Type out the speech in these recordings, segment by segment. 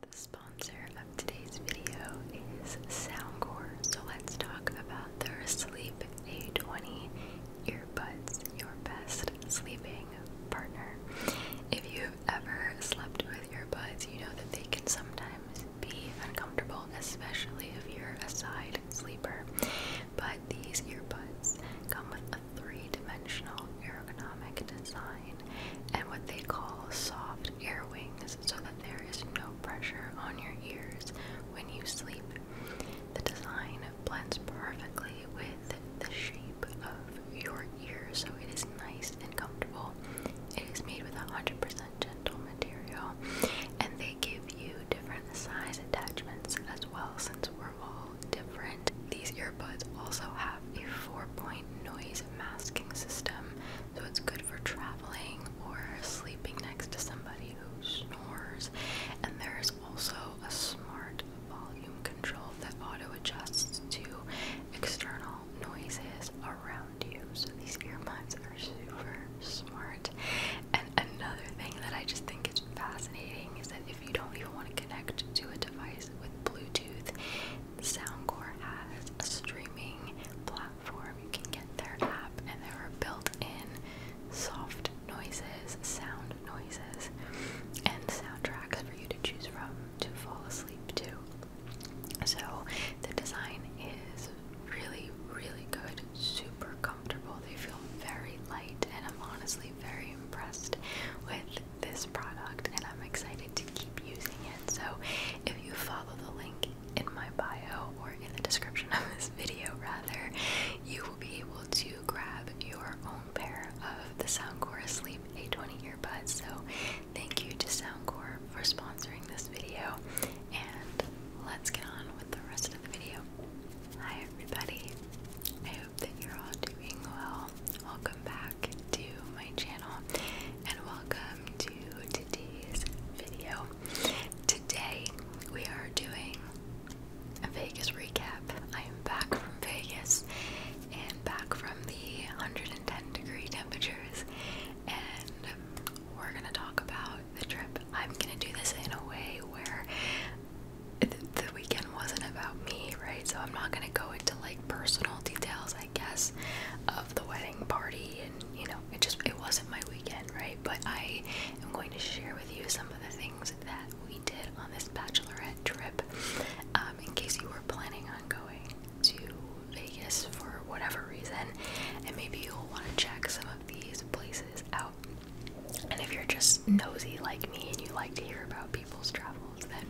The sponsor of today's video is Soundcore. So let's talk about their Sleep A20 earbuds, your best sleeping partner. If you've ever slept with earbuds, you know that they can sometimes be uncomfortable, especially if you're a side sleeper. But these earbuds come with a three-dimensional ergonomic design and what they call soft air wings so that there is no pressure on your ears when you sleep. The design blends perfectly with the shape of your ear so it is nice and comfortable. It is made with 100% gentle material and they give you different size attachments as well since we're all different. These earbuds also have a 4 point noise masking system, so it's good for traveling or sleeping next to somebody who snores. And there's also a smart volume control that auto adjusts to external noises around you. So these earbuds are super smart. And another thing that I just think is fascinating is that if you don't even want to connect to a device with Bluetooth, Soundcore has a streaming platform. You can get their app, and there are built-in soft noises, sound noises, and soundtracks for you to choose from to fall asleep to. So the design is really, really good, super comfortable. They feel very light, and I'm honestly very impressed with this product and I'm excited to keep using it. So if you follow the link in my bio or in the description of this video rather, you will be able to grab your own pair of the Soundcore Sleep A20 earbuds. So thank you to Soundcore for sponsoring this video and let's get on with the rest of the video. Hi everybody. I hope that you're all doing well. Welcome back to my channel and welcome to today's video. Today we are doing a Vegas recap. I am back from Vegas and back from the 110 degree temperatures and we're going to talk about the trip. I'm going to do this in a way where the weekend wasn't about me, right? So I'm not going to go into like personal details. I guess, of the wedding party and you know, it just it wasn't my weekend, right? But I am going to share with you some of the things that we did on this bachelorette trip, um, in case you were planning on going to Vegas for whatever reason, and maybe you'll want to check some of these places out. And if you're just nosy like me and you like to hear about people's travel then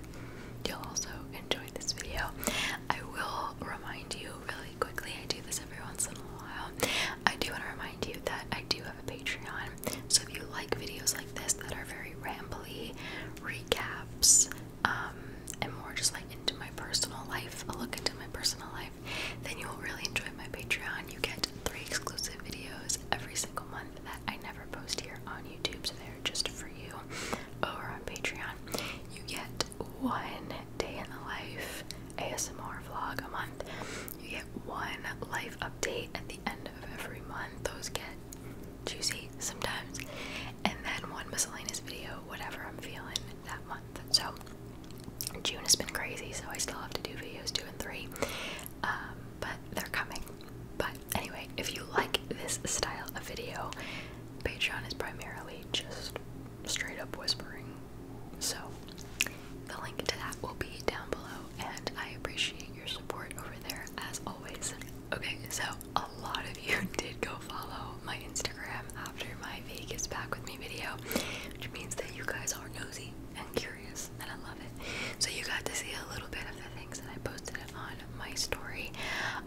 you'll also enjoy this video. I will remind you really quickly, I do this every once in a while. I do want to remind you that I do have a Patreon, so if you like videos like this that are very rambly, recaps, um, and more just like into my personal life, a look into my personal life, then you'll really enjoy my Patreon. You get three exclusive videos every single month that I never post here on YouTube, so they just for you over on Patreon. You get one day in the life ASMR vlog a month. You get one life update at the end of every month. Those get juicy sometimes. And then one miscellaneous video, whatever I'm feeling that month. So June has been crazy, so I still have to do videos two and three. Um, but they're coming. But anyway, if you like this style of video, Patreon is primarily just straight up whispering. So the link to that will be down below, and I appreciate your support over there as always. Okay, so a lot of you did go follow my Instagram after my Vegas Back With Me video, which means that you guys are nosy and curious, and I love it. So you got to see a little bit of the things that I posted on my story.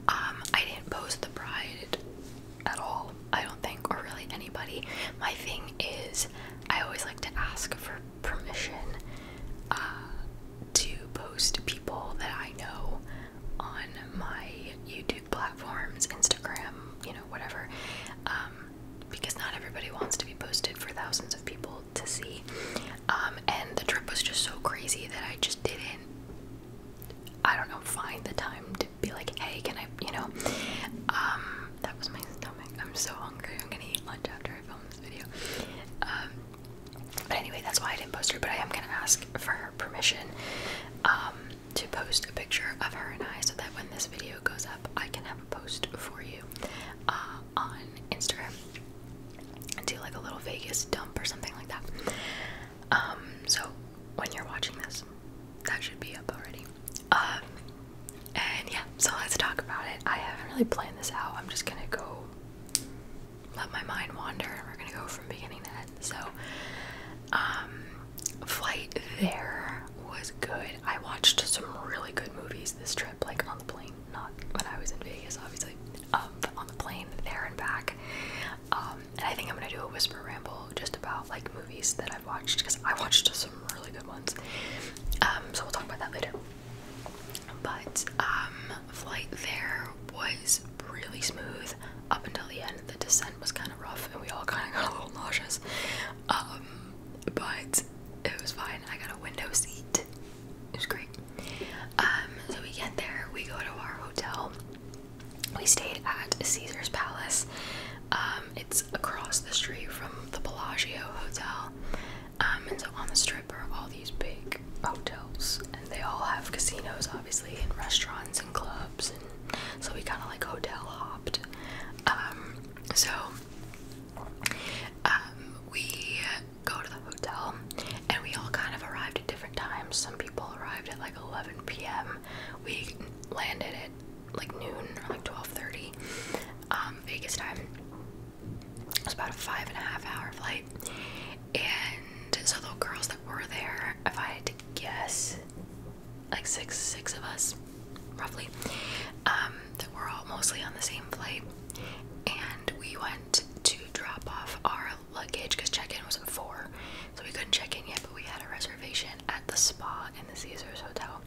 Um, I didn't post the bride at all, I don't think, or really anybody. My thing is, I always like to ask for permission uh, to post people that I know on my YouTube platforms, Instagram, you know, whatever. Um, because not everybody wants to be posted for thousands of people to see. Um, and the trip was just so crazy that I just didn't, I don't know, find the time to be like, hey, can I, you know? Um, that was my stomach. I'm so hungry. I'm gonna eat lunch after I film this video. Um, but anyway, that's why I didn't post her, but I am gonna ask for her permission to post a picture of her and I so that when this video goes up, I can have a post for you on Instagram and do like a little Vegas dump or something like that. Um, so when you're watching this, that should be up already. Um, and yeah, so let's talk about it. I haven't really planned this out. I'm just gonna go let my mind wander and we're gonna go from beginning to end. So, um, flight there was good. I watched some really good movies this trip, like on the plane not when I was in Vegas, obviously, um, on the plane there and back. Um, and I think I'm gonna do a whisper ramble just about like movies that I've watched because I watched some really good ones. Um, so we'll talk about that later. But um, flight there was really smooth up until the end. The descent was kind of rough, and we all kind of got a little nauseous. but it was fine. I got a window seat it was great. Um, so we get there, we go to our hotel. We stayed at Caesar's Palace. Um, it's across the street from the Bellagio Hotel. Um, and so on the strip are all these big hotels, and they all have casinos, obviously, and restaurants and clubs. And so we kind of like hotel hopped. so we go to the hotel, and we all kind of arrived at different times. Some people arrived at like 11 p.m. We landed at like noon or like 12:30 um, Vegas time. It was about a five and a half hour flight, and so the girls that were there, if I had to guess, like six six of us, roughly, um, that were all mostly on the same flight, and we went to drop off our luggage because check-in was at four, so we couldn't check in yet. But we had a reservation at the spa in the Caesar's Hotel.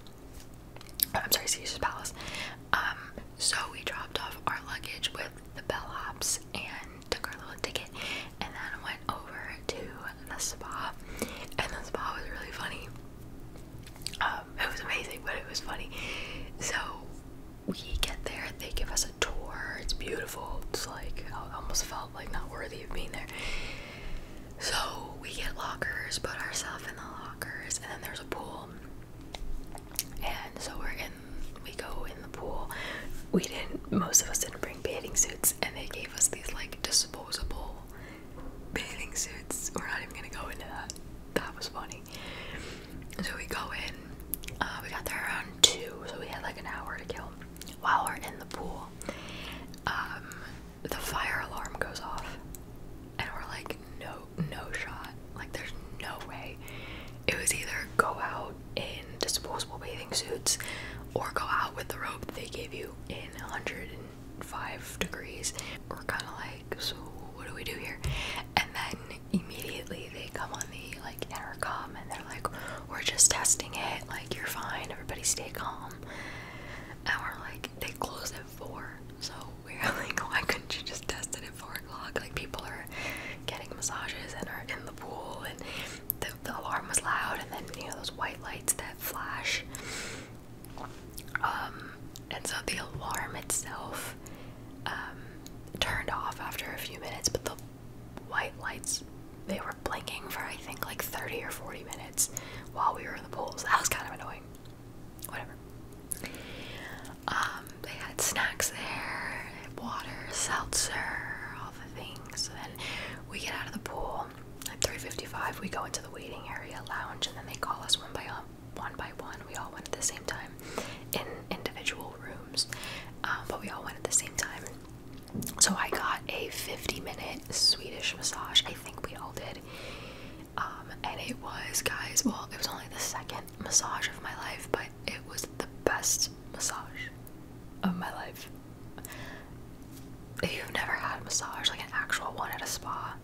I'm sorry, Caesar's Palace. Um, so we dropped off our luggage with the bellhops and took our little ticket, and then went over to the spa. And the spa was really funny. Um, it was amazing, but it was funny. So we get there, they give us a tour. It's beautiful. It's like I almost felt like not worthy of being there. So we get lockers, put ourselves in the lockers, and then there's a pool. And so we're in. We go in the pool. We didn't. Most of us didn't bring bathing suits, and they gave us these like disposable bathing suits. We're not even gonna go into that. That was funny. So we go in. Uh, we got there around two, so we had like an hour to kill. While we're in the pool, um, the fire alarm goes off, and we're like, no, no shot. Like there's no way. It was either go out in disposable bathing suits or go out with the rope they gave you in 105 degrees. We're kind of like, so what do we do here? And then immediately they come on the like intercom and they're like, "We're just testing it. Like you're fine. Everybody stay calm." And we're like, they close at four, so we're like, "Why couldn't you just test it at four o'clock?" Like people are getting massages and are in the pool, and the, alarm was loud, and then you know those white lights that flash. Um, and so the alarm itself um, turned off after a few minutes, but the white lights they were blinking for I think like 30 or 40 minutes while we were in the pools. That was kind of annoying. Whatever. Um, they had snacks there, water, seltzer, all the things. And then we get out of the pool at 3:55. We go into the waiting area lounge, and then they call us one by one one by one. We all went at the same time in individual rooms, um, but we all went at the same time. So I got a 50 minute Swedish massage. I think we all did. Um, and it was, guys, well, it was only the second massage of my life, but it was the best massage of my life. If you've never had a massage, like an actual one at a spa,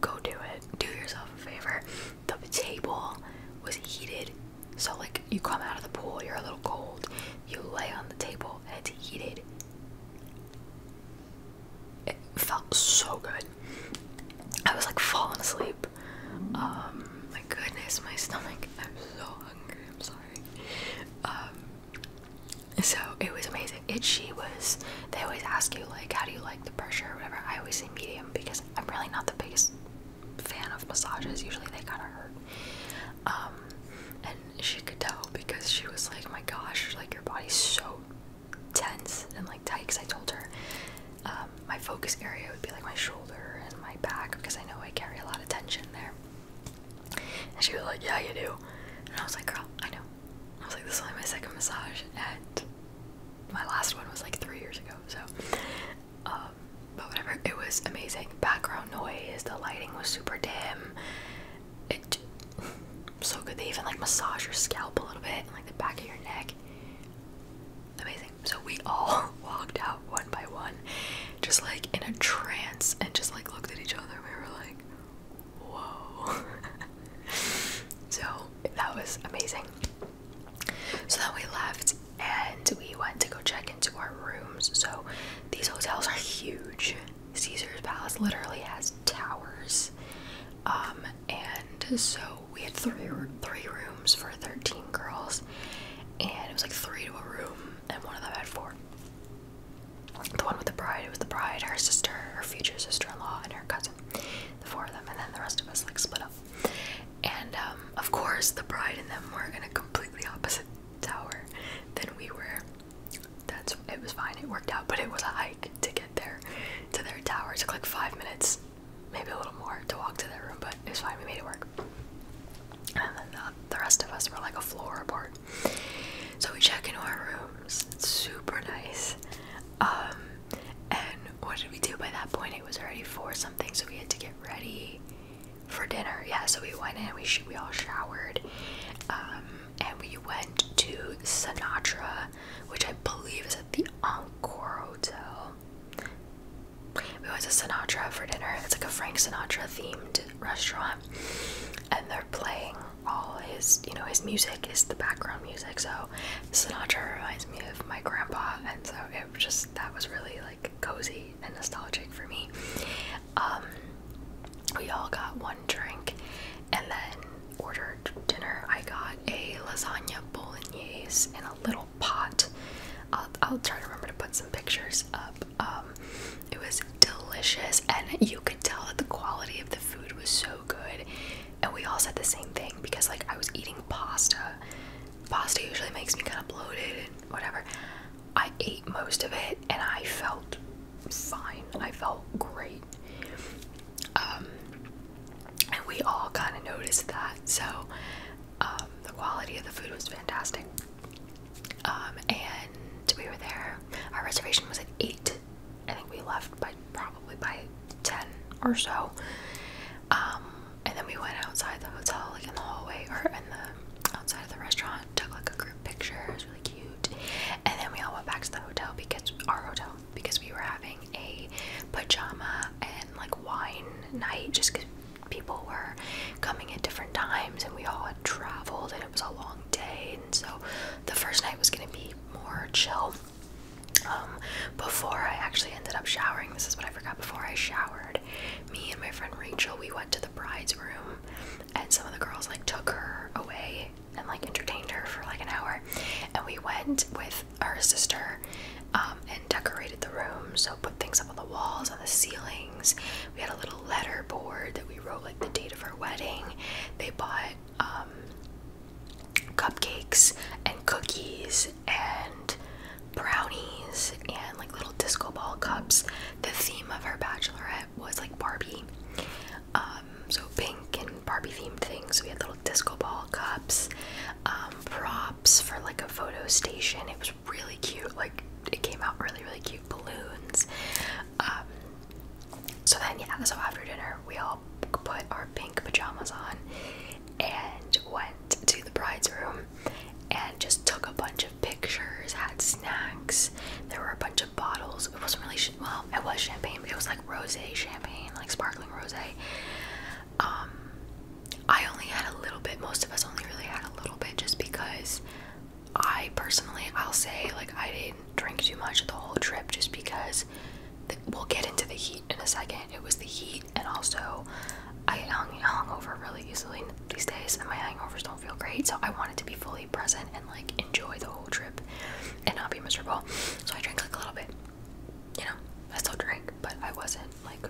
go do it. Do yourself a favor. The table was heated, so like you come out of the pool, you're a little cold. You lay on the table and it's heated. It felt so good. I was like falling asleep. Um, my goodness, my stomach. I'm so hungry. I'm sorry. Um, so it was amazing. It she was they always ask you like how do you like the pressure or whatever i always say medium because i'm really not the biggest fan of massages usually they kind of hurt um, and she could tell because she was like my gosh like your body's so tense and like tight because i told her um, my focus area would be like my shoulder and my back because i know i carry a lot of tension there and she was like yeah you do and i was like girl i know i was like this is only my second massage and my last one was like three years ago, so um, but whatever, it was amazing. Background noise, the lighting was super dim. It so good. They even like massage your scalp a little bit like the back of your neck. Amazing. So we all walked out one by one, just like in a trance, and just like looked at each other. We were like, whoa. so that was amazing. So then we left and we went to go check into our rooms. So these hotels are huge. Caesar's Palace literally has towers. Um, and so we had three three rooms for 13 girls, and it was like three to a room, and one of them had four. The one with the bride, it was the bride, her sister, her future sister-in-law, and her cousin the four of them, and then the rest of us like split up. And um, of course, the bride and them were in a completely opposite tower than we were. That's it was fine. It worked out, but it was a hike to get there to their tower. It took like five minutes, maybe a little more, to walk to their room, but it was fine. We made it work. And then the, the rest of us were like a floor apart. So we check into our rooms. It's super nice. Um, and what did we do by that point? It was already four something, so we had to get ready for dinner. Yeah, so we went in, we sh we all showered, um, and we went to Sinatra, which I believe is at the Encore Hotel. We went to Sinatra for dinner. It's like a Frank Sinatra themed restaurant, and they're playing all his, you know, his music is the background music. So Sinatra reminds me of my grandpa, and so it just that was really like cozy and nostalgic for me. Um, we all got one drink, and then ordered dinner. I got a lasagna bolognese in a little pot. I'll, try to remember to put some pictures up. Um, it was delicious, and you could tell that the quality of the food was so good and we all said the same thing because like I was eating pasta. Pasta usually makes me kind of bloated and whatever. I ate most of it and I felt fine. I felt great. Um, and we all kind of noticed that. So um, the quality of the food was fantastic. Um, and we were there. Our reservation was at 8 I think we left by probably by 10 or so. Um, and then we went outside the hotel, like in the hallway or in the outside of the restaurant, took like a group picture, it was really cute. And then we all went back to the hotel because our hotel because we were having a pajama and like wine night just because people were coming at different times and we all had traveled and it was a long day and so the first night was gonna be more chill um, before I actually ended up showering, this is what I forgot before I showered. Me and my friend Rachel, we went to the bride's room, and some of the girls like took her away and like entertained her for like an hour. And we went with our sister um, and decorated the room, so put things up on the walls, on the ceilings. We had a little letter board that we wrote like the date of our wedding. They bought um, cupcakes and cookies and brownies and like little disco ball cups. The theme of her bachelorette was like Barbie. Um, so pink and Barbie themed things. So We had little disco ball cups, um, props for like a photo station. It was really cute. Like it came out really, really cute balloons. so then yeah, so after dinner we all put our pink pajamas on and went to the bride's room and just took a bunch of pictures, had snacks. There were a bunch of bottles. It wasn't really well, it was champagne, it was like rosé champagne, like sparkling rosé. Um I only had a little bit. Most of us only really had a little bit just because I personally I'll say like I didn't drink too much the whole trip just because we'll get into the heat in a second. It was the heat, and also I hung, hung over really easily these days, and my hangovers don't feel great. So I wanted to be fully present and like enjoy the whole trip and not be miserable. So I drank like a little bit. You know, I still drank, but I wasn't like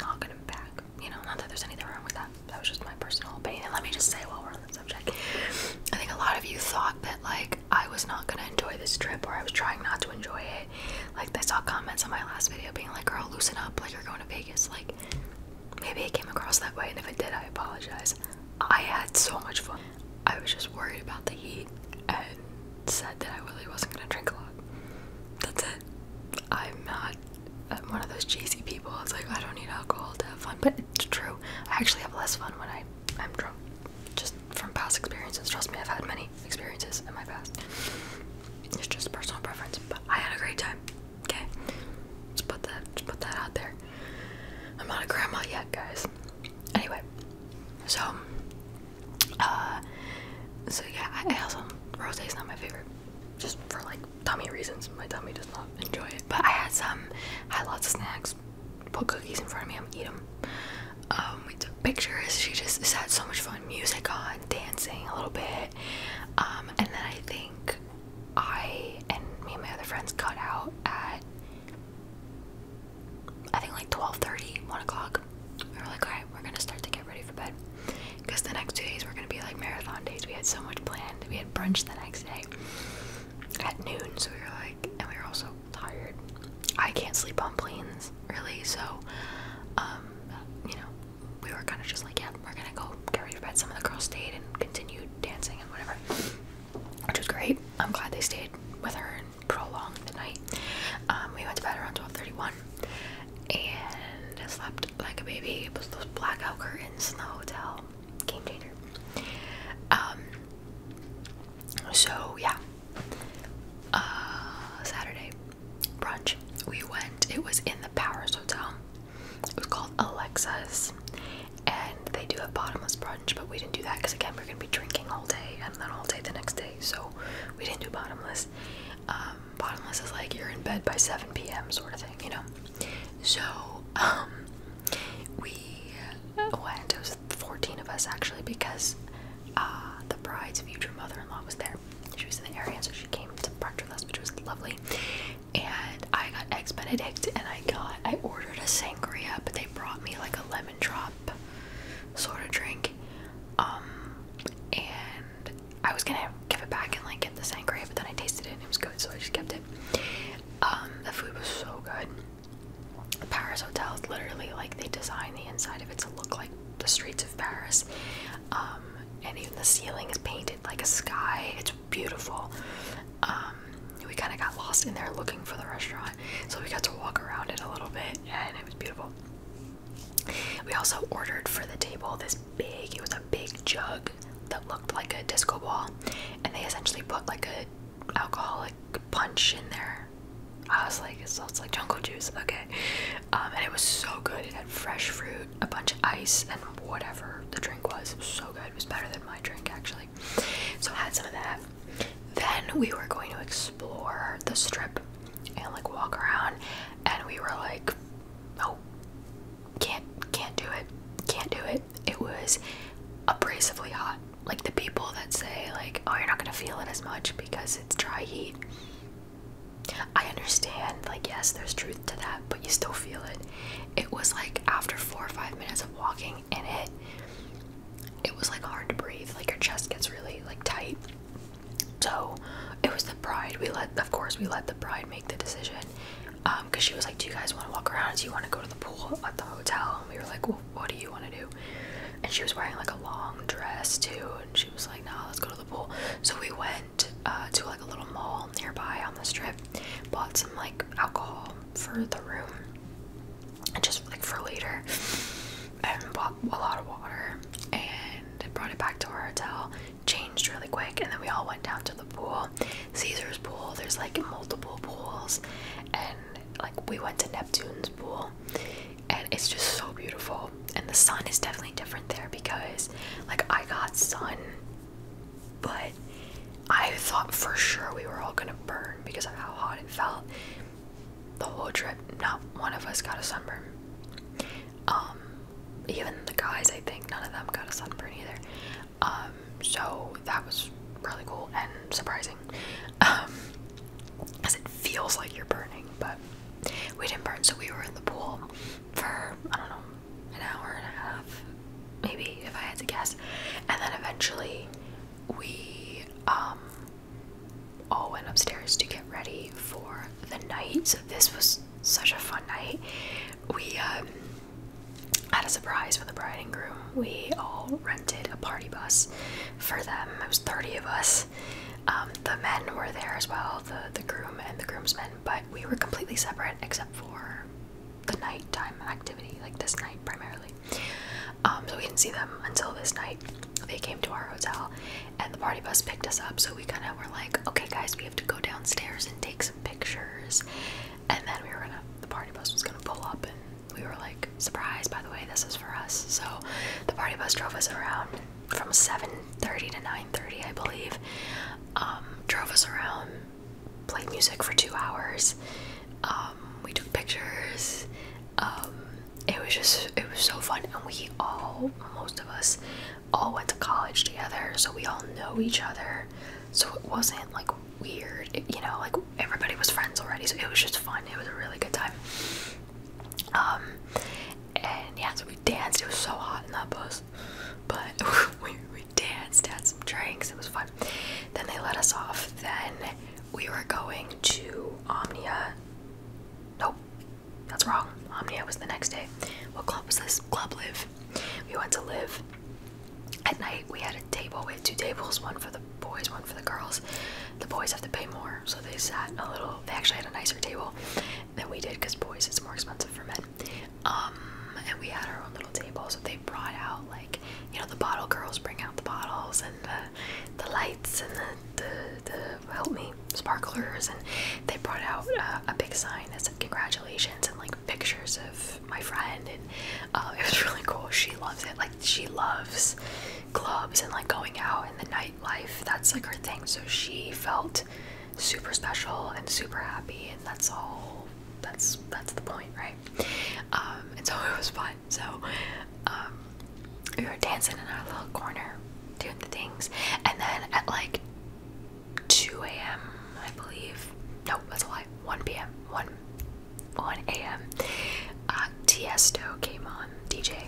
not going back. You know, not that there's anything wrong with that. That was just my personal opinion. let me just say while we're on the subject, I think a lot of you thought that like I was not gonna enjoy this trip or I was trying not to enjoy it. Like I saw comments on my last video being like, girl, loosen up, like you're going to Vegas. Like maybe it came across that way and if it did I apologize. I had so much fun. I was just worried about the heat and said that I really wasn't gonna drink a lot. That's it. I'm not I'm one of those cheesy people. It's like I don't need alcohol to have fun, but it's true. I actually have less fun when I I'm drunk. Just from past experiences. Trust me, I've had many experiences in my past. It's just personal preference, but I had a great time. Okay, just put that, just put that out there. I'm not a grandma yet, guys. Anyway, so, uh, so yeah, I, I Rose is not my favorite, just for like tummy reasons. My tummy does not enjoy it, but I had some, I had lots of snacks put cookies in front of me. I'm gonna eat them. Um, we took pictures. She just, just had so much fun. Music on, dancing a little bit. Um, and then I think I and me and my other friends cut out at I think like 12:30, 1 o'clock. We were like, alright, we're gonna start to get ready for bed. Because the next two days were gonna be like marathon days. We had so much planned. We had brunch the next day at noon, so we were like, and we were also tired. I can't sleep on planes, really, so, um, you know, we were kind of just like, yeah, we're gonna go get ready for bed. Some of the girls stayed and continued dancing and whatever, which was great. I'm glad they stayed with her and prolonged the night. Um, we went to bed around 12:31 and I slept like a baby. It was those blackout curtains in the hotel game changer. Um, so yeah, uh, Saturday brunch we went. It was in the Powers Hotel. It was called Alexa's, and they do a bottomless brunch, but we didn't do that because again we're gonna be drinking all day and then all day the next day, so we didn't do bottomless. Um, bottomless is like you're in bed by 7 p.m. sort of thing, you know. So, um, we, what, it was 14 of us actually because uh, the bride's future mother in law was there. She was in the area, so she came to brunch with us, which was lovely. And I got Eggs Benedict and I got, I ordered a sangria, but they brought me like a lemon drop sort of drink. Um, and I was gonna give it back and like get the sangria, but then I tasted it and it was good, so I just kept it. Um, the food was so good. The Paris hotels literally like they design the inside of it to look like the streets of Paris. Um, and even the ceiling is painted like a sky. It's beautiful. Um, we kind of got lost in there looking for the restaurant, so we got to walk around it a little bit, and it was beautiful. We also ordered for the table this big, it was a big jug that looked like a disco ball and they essentially put like a alcoholic punch in there i was like it's, it's like jungle juice okay um, and it was so good it had fresh fruit a bunch of ice and whatever the drink was it was so good it was better than my drink actually so i had some of that then we were going to explore the strip and like walk around and we were like oh can't can't do it can't do it it was abrasively hot. Like the people that say like, oh, you're not gonna feel it as much because it's dry heat. I understand, like yes, there's truth to that, but you still feel it. It was like after four or five minutes of walking in it, it was like hard to breathe. Like your chest gets really like tight. So it was the bride. We let, of course, we let the bride make the decision because um, she was like do you guys want to walk around do you want to go to the pool at the hotel and we were like what do you want to do and she was wearing like a long dress too and she was like no nah, let's go to the pool so we went uh, to like a little mall nearby on the strip bought some like alcohol for the room and just like for later and bought a lot of water and brought it back to our hotel changed really quick and then we all went down to the pool Caesar's pool. There's like multiple pools, and like we went to Neptune's pool, and it's just so beautiful. And the sun is definitely different there because like I got sun, but I thought for sure we were all gonna burn because of how hot it felt. The whole trip, not one of us got a sunburn. Um, even the guys, I think none of them got a sunburn either. Um, so that was really cool and surprising. Um, it feels like you're burning, but we didn't burn, so we were in the pool for I don't know an hour and a half, maybe if I had to guess, and then eventually we um, all went upstairs to get ready for the night. So this was such a fun night. We um, had a surprise for the bride and groom. We all rented a party bus for them. It was 30 of us. Um, the men were there as well, the, the groom and the groomsmen, but we were completely separate except for the nighttime activity, like this night primarily. Um, so we didn't see them until this night. They came to our hotel and the party bus picked us up. So we kind of were like, okay, guys, we have to go downstairs and take some pictures and then we were gonna the party bus was gonna pull up and we were like surprise by the way this is for us so the party bus drove us around from 7.30 to 9.30 i believe um, drove us around played music for two hours um, we took pictures um, it was just it was so fun and we all most of us all went to college together so we all know each other so it wasn't like weird. you know, like everybody was friends already, so it was just fun. It was a really good time. Um, and yeah, so we danced. It was so hot in that bus, but we, we danced, had some drinks. It was fun. Then they let us off. Then we were going to Omnia. Nope, that's wrong. Omnia was the next day. What club was this? Club Live. We went to Live. At night, we had a table. We had two tables, one for the boys, one for the girls. The boys have to pay more, so they sat a little. They actually had a nicer table than we did because boys, it's more expensive for men. Um, and we had our own little table, so they brought out like you know the bottle girls bring out the bottles and the, lights and the, the help me sparklers, and they brought out uh, a big sign that said congratulations and like pictures of my friend, and uh, it was really cool. She loves it. Like she loves clubs and like going out and the nightlife. That's like her thing. So she felt super special and super happy, and that's all. That's that's the point, right? Um, and so it was fun. So um, we were dancing in our little corner, doing the things, and then at like 2 a.m., I believe. No, that's a lie. 1 p.m. 1 1 a.m. Uh, Tiesto came on, DJ.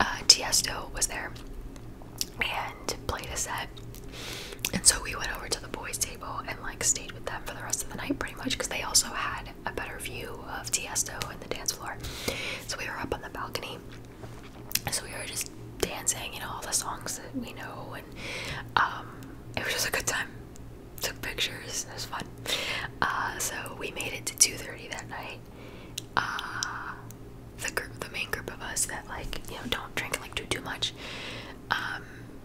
Uh, Tiesto was there and played a set. And so we went over to the boys' table and like stayed with them for the rest of the night, pretty much, because they also had a better view of Tiesto and the dance floor. So we were up on the balcony. So we were just dancing, you know, all the songs that we know and um, it was just a good time. Took pictures, it was fun. Uh, so we made it to 2:30 that night. Uh, the group, the main group of us that like you know don't drink like do too much. Um,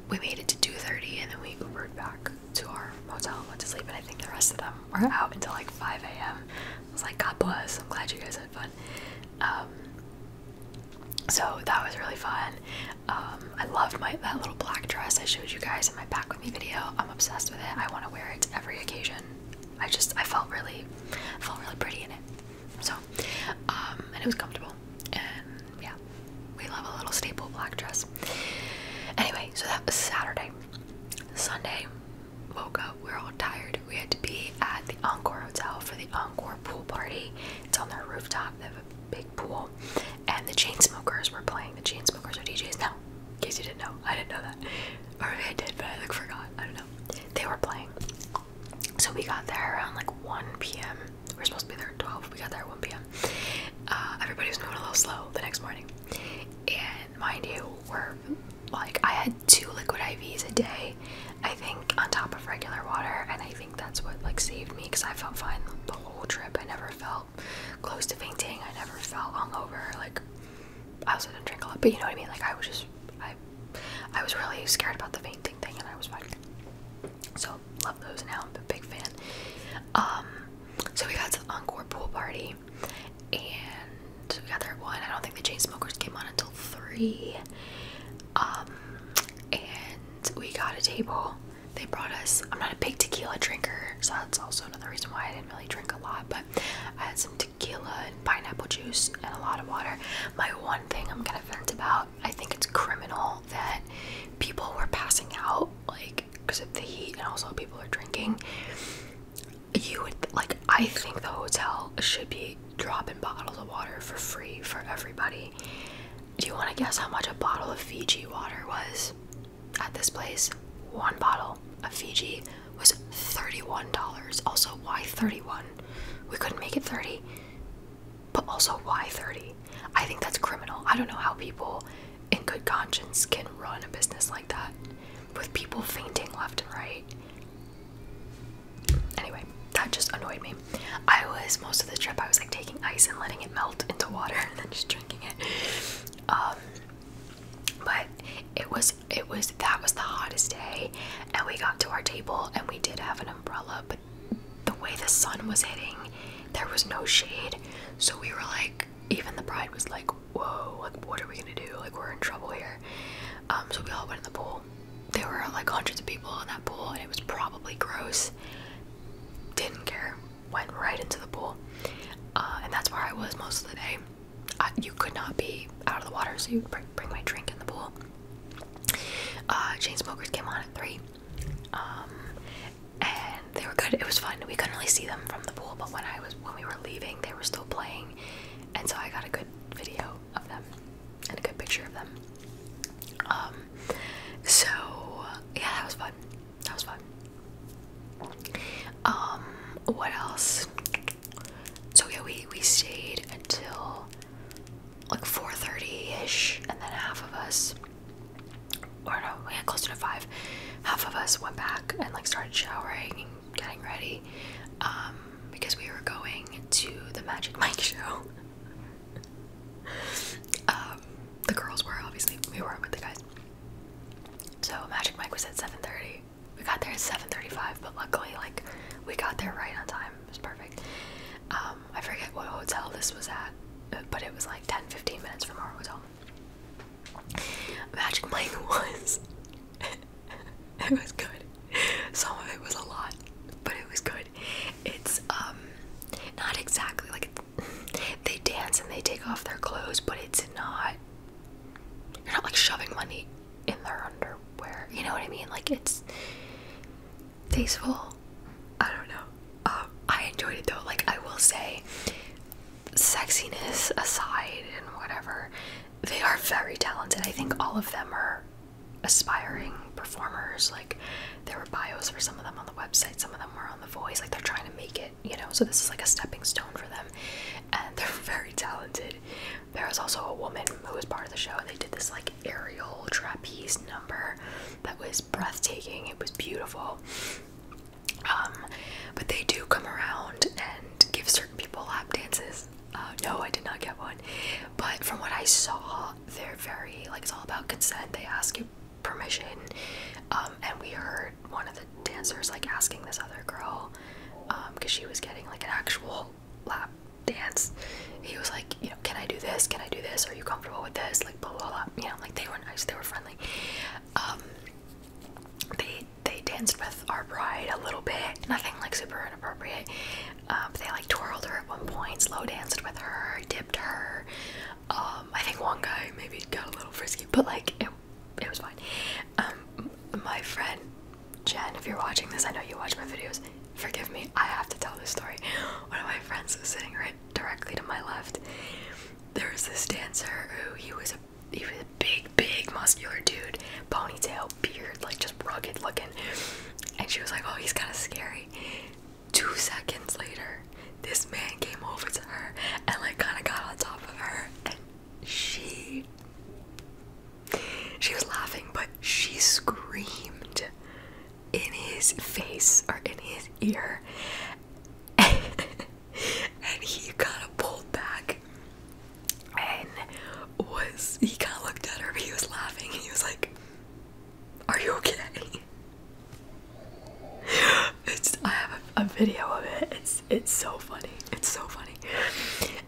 we made it to 2:30 and then we Ubered back to our motel and went to sleep. And I think the rest of them were out until like 5 a.m. It was like, God bless. I'm glad you guys had fun. Um, so that was really fun. Um, I loved my that little black dress I showed you guys in my back with me video. I'm obsessed with it. I want to wear it every occasion. I just I felt really I felt really pretty in it. So um, and it was comfortable and yeah, we love a little staple black dress. Anyway, so that was Saturday. Sunday, woke up. we're all tired. We had to be at the Encore Hotel for the Encore pool party. It's on their rooftop. They have a big pool, and the chain smokers were playing. The chain smokers are DJs now. In case you didn't know, I didn't know that, or I did, but I like forgot. I don't know. They were playing, so we got there around like 1 p.m. We are supposed to be there at 12. We got there at 1 p.m. Uh, everybody was moving a little slow the next morning, and mind you, we're like I had two liquid IVs a day I think, on top of regular water, and I think that's what like saved me because I felt fine the whole trip. I never felt close to fainting. I never felt hungover. Like I also didn't drink a lot, but you know what I mean. Like I was just I I was really scared about the fainting thing, and I was fine. So love those now. I'm a big fan. Um, so we got to the encore pool party, and we got there one. I don't think the chain smokers came on until three. Um, and we got a table. They brought us, I'm not a big tequila drinker, so that's also another reason why I didn't really drink a lot, but I had some tequila and pineapple juice and a lot of water. My one thing I'm gonna vent about, I think it's criminal that people were passing out, like, because of the heat and also people are drinking. You would, like, I think the hotel should be drop in bottles of water for free for everybody. Do you want to guess how much a bottle of Fiji water was at this place? One bottle of Fiji was $31. Also, why 31? We couldn't make it 30. But also, why 30? I think that's criminal. I don't know how people in good conscience can run a business like that with people fainting left and right. Anyway, that just annoyed me. I was most of the trip I was like taking ice and letting it melt into water and then just drinking it. Um, but it was it was that was the hottest day and we got to our table and we did have an umbrella but the way the sun was hitting there was no shade so we were like even the bride was like whoa like what are we gonna do like we're in trouble here um, so we all went in the pool there were like hundreds of people in that pool, and it was probably gross. Didn't care. Went right into the pool, uh, and that's where I was most of the day. you could not be out of the water, so you bring, bring my drink in the pool. Uh, smokers came on at three, um, and they were good. It was fun. We couldn't really see them from the pool, but when I was when we were leaving, they were still playing, and so I got a good video of them and a good picture of them. Um, so yeah, that was fun. That was fun. Um, what else? So yeah, we we stayed until like 4:30 ish, and then half of us, or no, we had closer to five. Half of us went back and like started showering and getting ready. Um, because we were going to the Magic Mike show. Um, the girls were obviously we weren't with the guys. So Magic Mike was at 7:30. We got there at 7:35, but luckily, like, we got there right on time. It was perfect. Um, I forget what hotel this was at, but it was like 10-15 minutes from our hotel. Magic Mike was it was good. Some of it was a lot, but it was good. It's um not exactly like they dance and they take off their clothes, but it's not you're not like shoving money in their underwear. You know what I mean? Like it's tasteful. I don't know. Um, I enjoyed it though. Like I will say, sexiness aside and whatever, they are very talented. I think all of them are aspiring performers. Like there were bios for some of them on the website, some of them were on The Voice. Like they're trying to make it, you know. So this is like a stepping stone for them, and they're very talented. There was also a woman who was part of the show, and they did this like aerial trapeze number that was breathtaking. It was beautiful. Um, but they do come around and give certain people lap dances. Uh, no, I did not get one. But from what I saw, they're very like it's all about consent. They ask you permission. Um, and we heard one of the dancers like asking this other girl, because um, she was getting like an actual lap dance. He was like, you know, can I do this? Can I do this? Are you comfortable with this? Like blah blah blah. You know, like they were nice, they were friendly. Um, they they danced with our bride a little bit, nothing like super inappropriate, um, they like twirled her at one point, slow danced with her, dipped her. Um, I think one guy maybe got a little frisky, but like it, it was fine. Um, my friend Jen, if you're watching this, I know you watch my videos. Forgive me, I have to tell this story. One of my friends was sitting right directly to my left. There was this dancer who he was a he was a big, big muscular dude, ponytail, beard, like just rugged looking. And she was like, Oh, he's kind of scary. Two seconds later, this man came over to her and, like, kind of got on top of her. And she. She was laughing, but she screamed in his face or in his ear. and he kind of pulled back and was he kind of looked at her but he was laughing and he was like are you okay it's i have a, video of it it's it's so funny it's so funny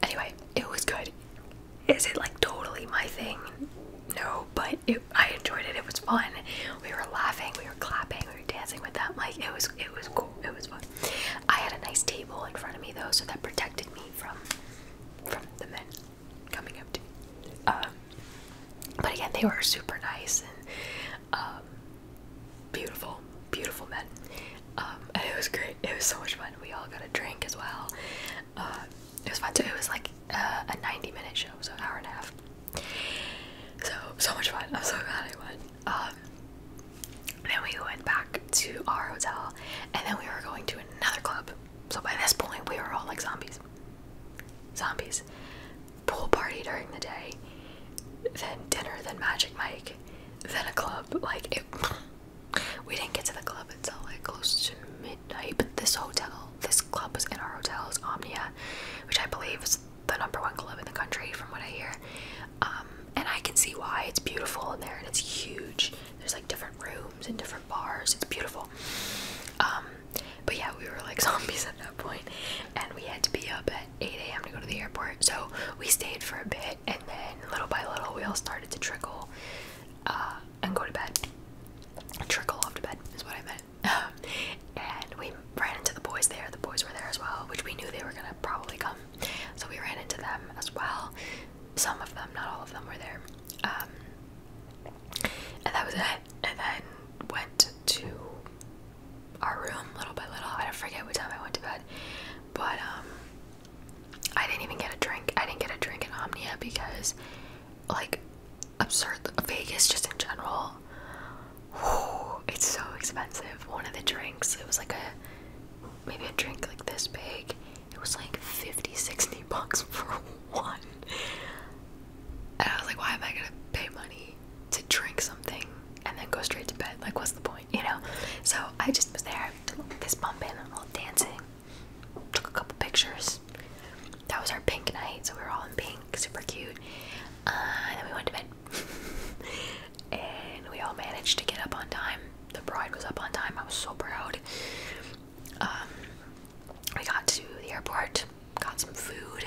anyway it was good is it like totally my thing no but i enjoyed it it was fun we were laughing we were clapping we were dancing with them like it was it was cool it was fun i had a nice table in front of me though so that protected me from from the men coming up to me. Um, but again, they were super nice and um, beautiful, beautiful men. Um, and it was great. It was so much fun. We all got a drink as well. Uh, it was fun too. It was like uh, a 90 minute show, so an hour and a half. So, so much fun. I'm so glad I went. Then we went back to our hotel, and then we were going to another club. So by this point, we were all like zombies. Zombies. Pool party during the day, then dinner, then Magic Mike, then a club. Like, we didn't get to the club until like close to midnight. this hotel, this club was in our hotel, it's Omnia, which I believe is the number one club in the country, from what I hear. Um, and I can see why it's beautiful in there and it's huge. There's like different rooms and different bars. It's beautiful. Um, but yeah, we were like zombies at that point, and we had to be up at 8 a.m. to go to the airport. So we stayed for a bit, and then little by little, we all started to trickle uh, and go to bed. Trickle off to bed is what I meant. and we ran into the boys there. The boys were there as well, which we knew they were gonna probably come. So we ran into them as well some of them, not all of them, were there. Um, and that was it. And then went to our room little by little. I don't forget what time I went to bed, but um, I didn't even get a drink. I didn't get a drink in Omnia because, like, absurd Vegas just in general. it's so expensive. One of the drinks, it was like a maybe a drink like this big it was like 50 60 bucks for one and i was like why am i gonna pay money to drink something and then go straight to bed like what's the point you know so i just was there fist bumping a little dancing took a couple pictures that was our pink night so we were all in pink super cute uh, and then we went to bed and we all managed to get up on time the bride was up on time. I was so proud. Um, we got to the airport, got some food.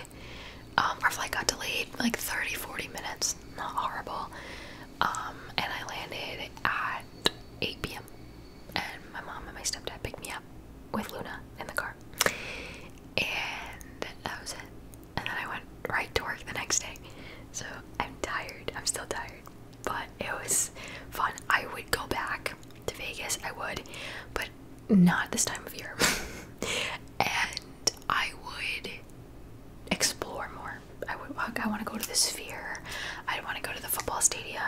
Um, our flight got delayed like 30 40 minutes, not horrible. Um, and I landed at 8 p.m. And my mom and my stepdad picked me up with Luna in the car. And that was it. And then I went right to work the next day. So I'm tired. I'm still tired but it was fun. I would go back to Vegas, I would, but not this time of year. and I would explore more. I would I want to go to the Sphere. I want to go to the football stadium.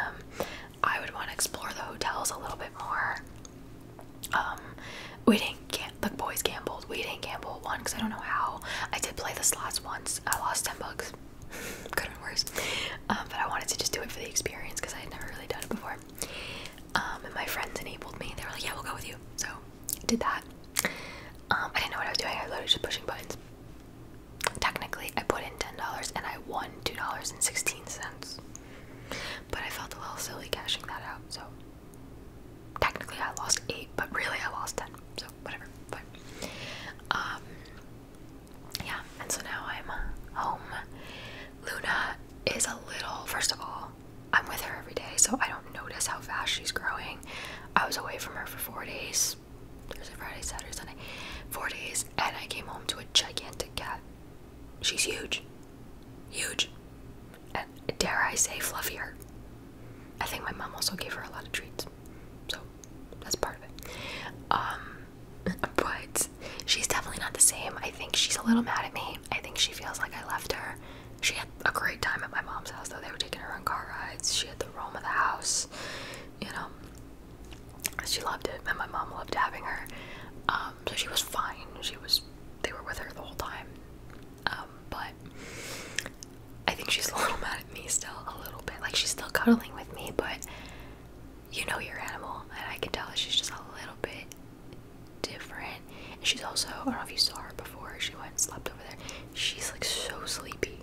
I would want to explore the hotels a little bit more. Um, we didn't gamble. the boys gambled. We didn't gamble one because I don't know how. I did play the slots once. I lost 10 bucks. Could have been worse. Um, but I wanted to just do it for the experience because I had never really done it before. Um, and my friends enabled me. They were like, yeah, we'll go with you. So I did that. Um, I didn't know what I was doing. I was literally just pushing buttons. Technically, I put in $10 and I won $2.16. But I felt a little silly cashing that out. So technically, I lost 8 but really, I lost 10 So whatever, fine. Um, yeah, and so now I'm home. Luna is a little, first of all, I'm with her every day, so I don't notice how fast she's growing. I was away from her for four days Thursday, Friday, Saturday, Sunday, four days, and I came home to a gigantic cat. She's huge, huge, and dare I say, fluffier I think my mom also gave her a lot of treats, so that's part of it. Um, but she's definitely not the same. I think she's a little mad at me. I think she feels like I left her. She had a great time at my mom's house, though. They were taking her on car rides. She had the roam of the house. You know, she loved it, and my mom loved having her. Um, so she was fine. She was. They were with her the whole time. Um, but I think she's a little mad at me still, a little bit. Like she's still cuddling with me, but you know your animal, and I can tell that she's just a little bit different. And she's also, I don't know if you saw her before, she went and slept over there. She's like so sleepy.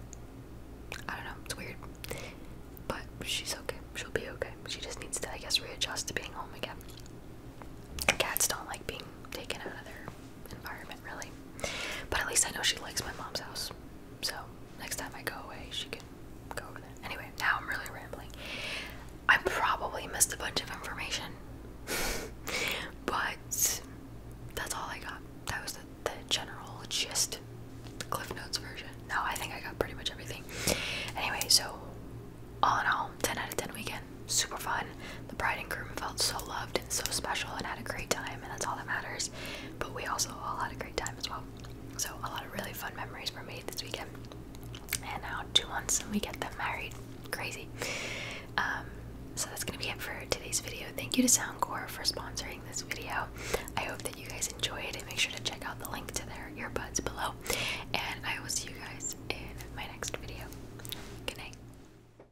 I don't know, it's weird. But she's okay. She'll be okay. She just needs to, I guess, readjust to being home again. Cats don't like being taken out of their environment, really. But at least I know she likes my mom's house. So next time I go away, she can go over there. Anyway, now I'm really rambling. I probably missed a bunch of information, but that's all I got. That was the, general gist, the Cliff Notes version. No, I think I got pretty much everything. Anyway, so all in all, 10 out of 10 weekend. Super fun. The bride and groom felt so loved and so special and had a great time, and that's all that matters. But we also all had a great time as well. So, a lot of really fun memories were made this weekend. And now, two months and we get them married. Crazy. Um, so, that's going to be it for today's video. Thank you to Soundcore for sponsoring this video. I hope that you guys enjoyed, and make sure to check out the link to their earbuds below. And I will see you guys in my next video. Good